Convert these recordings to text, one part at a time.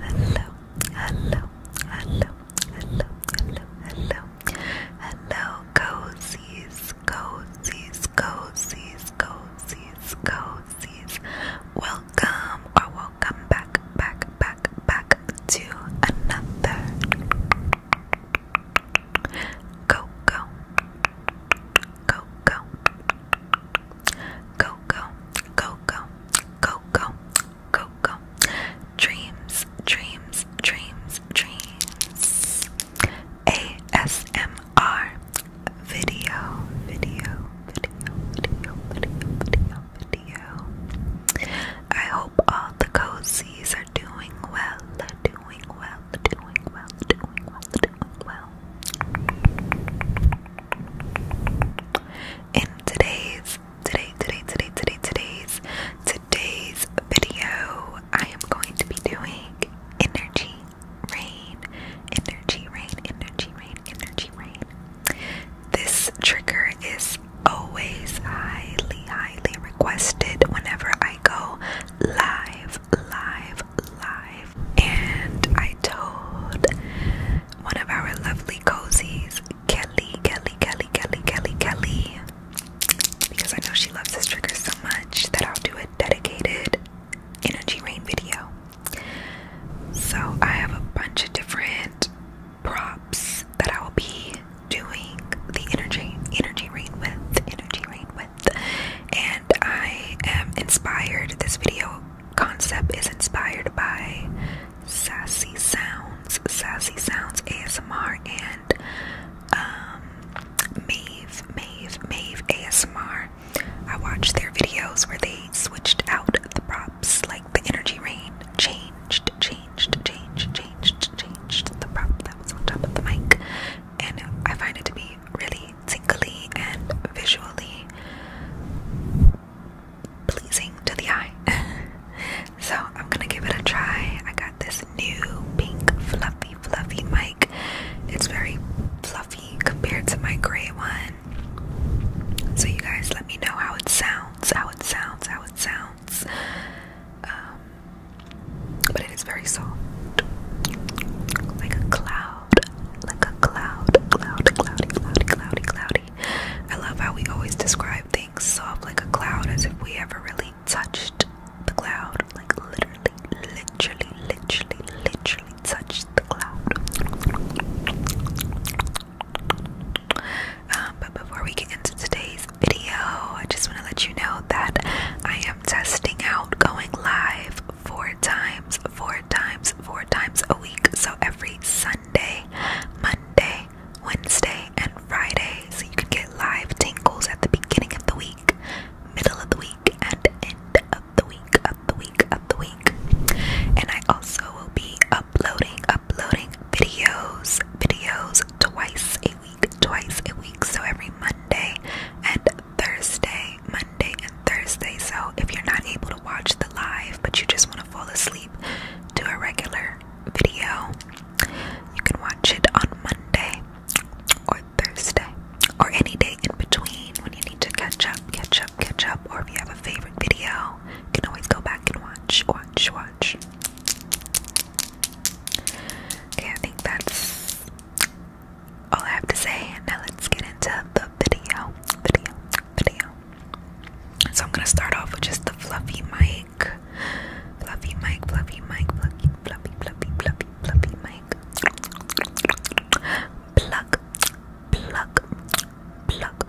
hello, hello, hello, hello, hello, hello, cozies, cozies, cozies, cozies, cozies. Welcome or welcome back, back, back back, back to another. Go, go, go, go, go, go, go, go, go, go, go, go. Dreams, dreams, dreams, dreams. ASMR video, video, video, video, video, video video. I hope all the cozies are doing well, doing well, doing well, doing well, doing well. In today's, today, today, today, today, today's, today's video, I am going to be doing energy rain, energy rain, energy rain, energy rain. This trigger is always highly, highly requested whenever I go live, live, live. And I told one of our lovely cozies, Kelly, Kelly, Kelly, Kelly, Kelly, Kelly, because I know she loves this trigger so much that I'll do a dedicated energy rain video. So I have a bunch of different props that I will be doing the energy energy rain with energy read with and I am inspired this video concept is inspired by sassy sounds sassy sounds ASMR and um Maeve Maeve ASMR I watched their videos where they switched out the props like the energy range changed, changed, changed, changed, changed the prop that was on top of the mic. And I find it to be really tingly and visually pleasing to the eye. so I'm gonna give it a try. I got this new pink fluffy fluffy mic. It's very fluffy compared to my gray one. So you guys let me know how it sounds sounds, how it sounds, how it sounds. Um, but it is very soft, like a cloud, like a cloud, cloud, cloudy, cloudy, cloudy, cloudy. I love how we always describe things soft like a cloud, as if we ever really touched the cloud, like literally, literally, literally, literally touched the cloud. Um, but before we get into today's video, I just want to let you know that I am testing out going live four times, four times, four times a week. So every Sunday, Monday, Wednesday, and Friday. So you can get live tingles at the beginning of the week, middle of the week, and end of the week, of the week, of the week. And I also will be uploading, uploading videos, videos twice a week, twice a week. So every Monday and Thursday, Monday and Thursday. So if you're not able to watch the live, but you just want to fall asleep do a regular video, you can watch it on Monday or Thursday or any day in between when you need to catch up, catch up, catch up, or if you have a favorite video, you can always go back and watch watch, watch. Okay, I think that's all I have to say. Now let's get into the video, video, video. So I'm gonna start off with just the fluffy mic, fluffy mic, fluffy mic, fluffy, fluffy, fluffy, fluffy, fluffy mic. Pluck, pluck, pluck,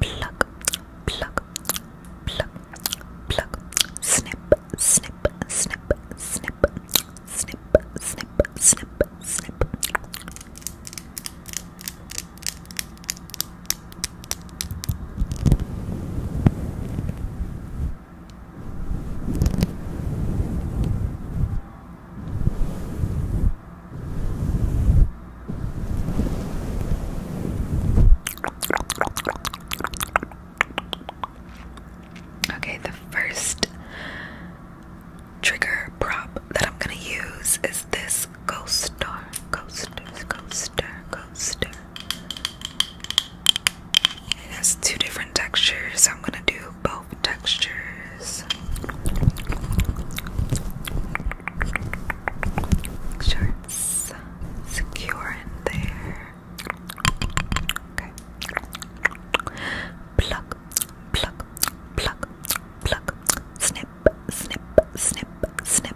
Pluck, pluck, pluck, pluck. Snip, snip, snip, snip, snip, snip, snip, snip. Pluck, Okay, the first trigger prop that I'm gonna use is this coaster, coaster, coaster, coaster. It has two different textures, I'm gonna do both textures. Shorts secure in there. Pluck, pluck, pluck, pluck. Snip, snip, snip, snip.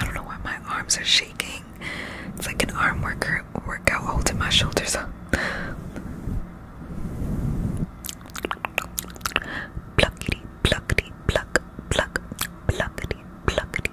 I don't know why my arms are shaking. It's like an arm worker workout holding my shoulders up. Pluckity, pluckity, pluck, pluck, pluckity, pluckity,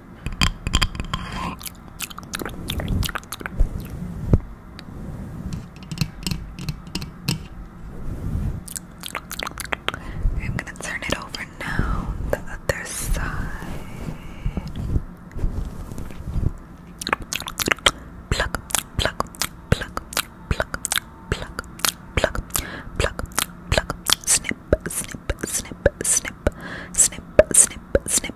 I'm going to turn it over now the other side. Pluck, pluck, pluck, pluck, pluck, pluck, pluck, pluck, snip, snip, snip, snip, snip, snip, snip,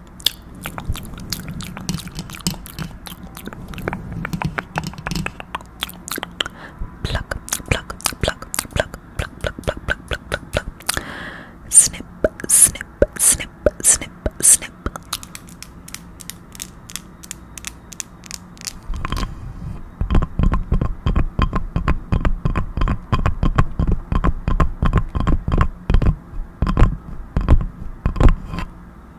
Pluck, pluck, pluck, pluck, pluck, pluck, pluck, pluck, pluck, pluck. Snip, snip, snip, snip, snip. Pluck,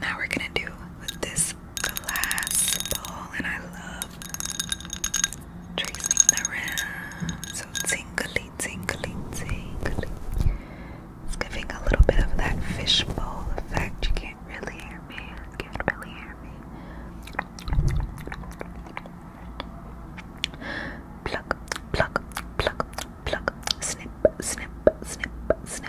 Now we're going to do with this this glass bowl and I love tracing the rim. So tingly, tingly, tingly. It's giving a little bit of that fishbowl effect. You can't really hear me. You can't really hear me. Pluck, pluck, pluck, pluck, snip, snip, snip, snip.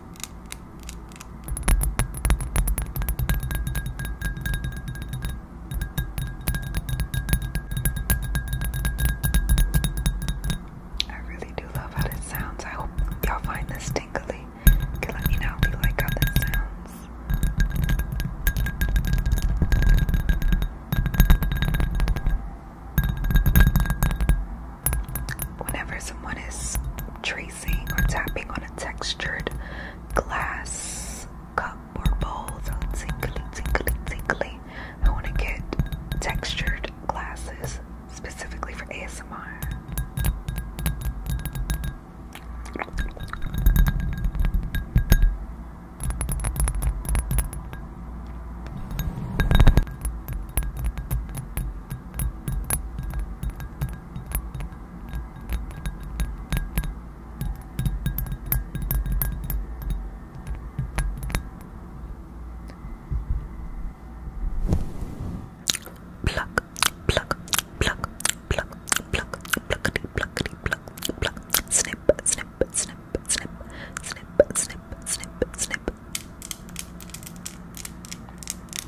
I really do love how this sounds. I hope y'all find this tingly. can let me know if you like how sounds. Whenever someone is tracing or tapping on a textured glass cup or bowl. tinkly, tinkly, tinkly. I want to get textured glasses specifically for ASMR. Pluck, pluck, pluck, pluck, pluck, pluckety, pluckety, pluck, pluck, snip, snip, snip, snip, snip, snip, snip, snip.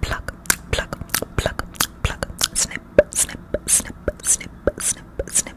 Pluck, pluck, pluck, pluck, snip, snip, snip, snip, snip, snip. Pluck,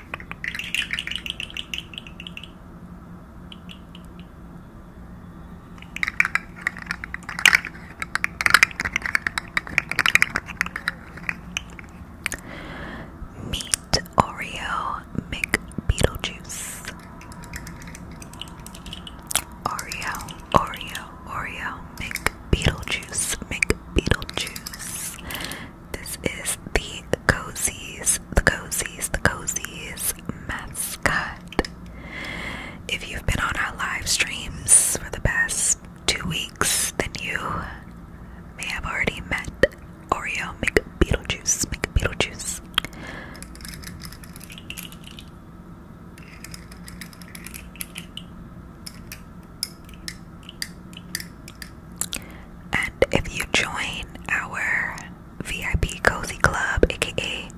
Meat Oreo Mick Beetlejuice Oreo Oreo Oreo Mick Beetlejuice Mick Beetlejuice this is the Cozies, the Cozies, the Cozies mascot. If you've been on our live streams for the past two weeks, then you may have already met Oreo Make Beetlejuice, Make Beetlejuice. And if you join our VIP Cozy Club, aka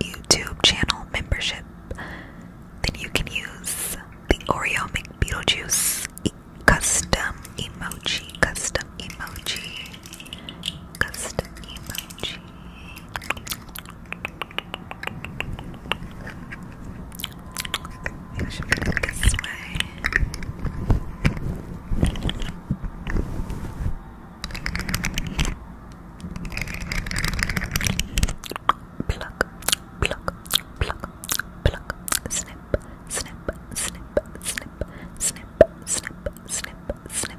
YouTube channel membership, then you can use the Oreo McBeetlejuice custom emoji, custom emoji, custom emoji. I should look this way. snip, snip, snip, snip, snip, snip, snip, snip.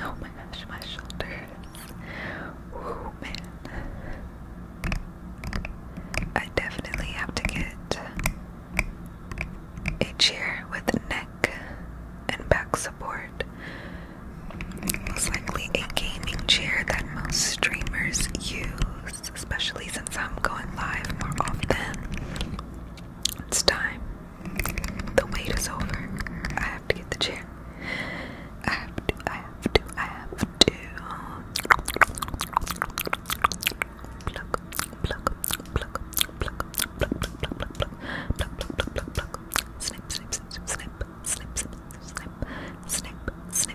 Oh my gosh, my shoulders. Oh man. I definitely have to get a chair with neck and back support. Most likely a gaming chair that most streamers use especially since I'm going live more often. It's time. The wait is over. I have to get the chair. I have to, I have to, I have to. snip, snip.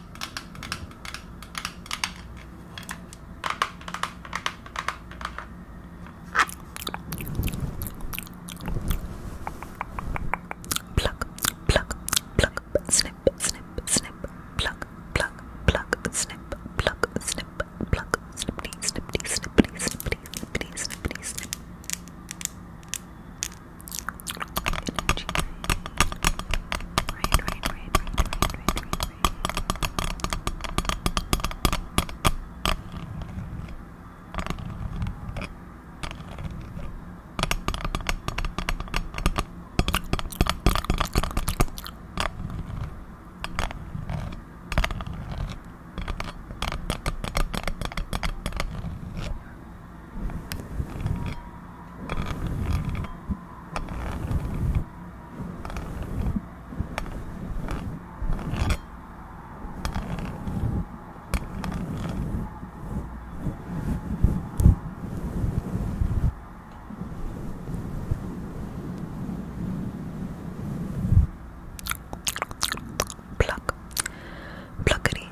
Pluck, pluck, pluck, snip, snip, snip, pluck, pluck, pluck, snip, pluck, snip, pluck, snippity, snippity, snippity, snippity, snippity, snippity, snip energy right, right, right, right, right, right, right, right. Pluck, pluckity,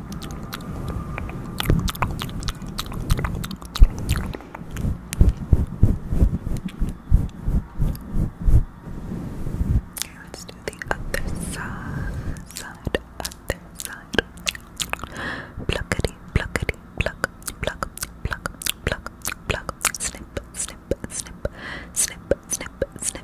Okay, let's do the other side, side, other side. Pluckity, pluckity, pluck, pluck, pluck, pluck, pluck. Snip, snip, snip, snip, snip, snip.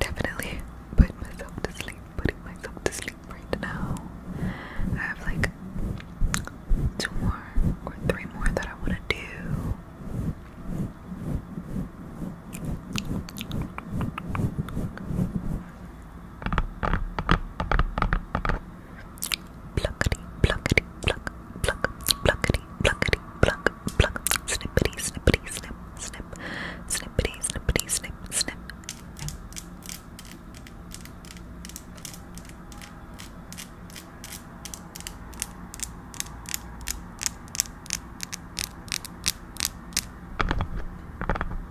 Definitely put myself to sleep, putting myself to sleep right now. I have like two more or three more that I want to do. Pluckety, pluckety, pluck, pluck, pluckety, pluckety, pluck, pluck, snippity, snippity, snip, snip, snippity, snippity, snip, snip. Pluck,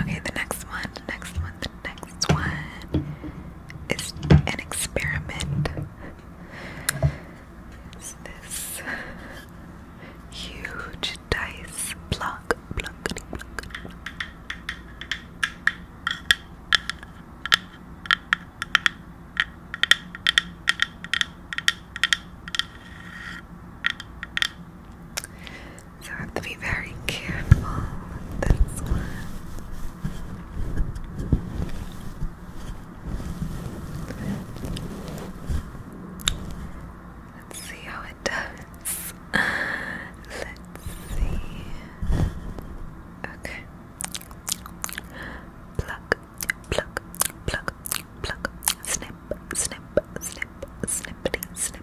Okay, the next one, the next one, the next one is an experiment. It's this huge dice block, block, So I have to be very careful with this one. Let's see how it does. Let's see. Okay. Pluck, pluck, pluck, pluck. Snip, snip, snip, snippity, snip.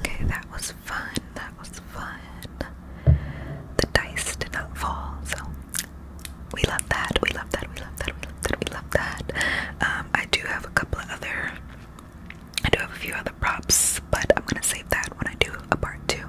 Okay, that was fun. That was fun. The dice did not fall, so we love that. We love that. We love that. We love that. We love that. Um, I do have a couple of other. I do have a few other props, but I'm gonna save that when I do a part two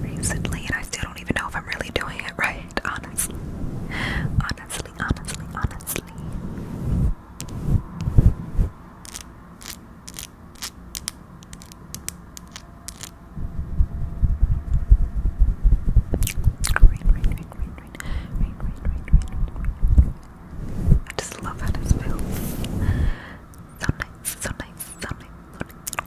recently, and I still don't even know if I'm really doing it right, honestly. Honestly, honestly, honestly. Rain, rain, rain, rain, rain, rain, rain, rain, rain. I just love how this feels. So nice, so nice,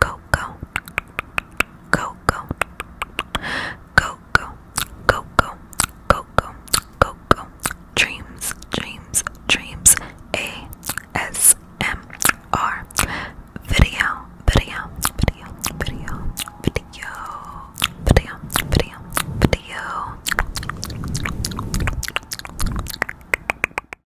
go go go go go go go go go go go go dreams dreams dreams a s m r video video video video video video video video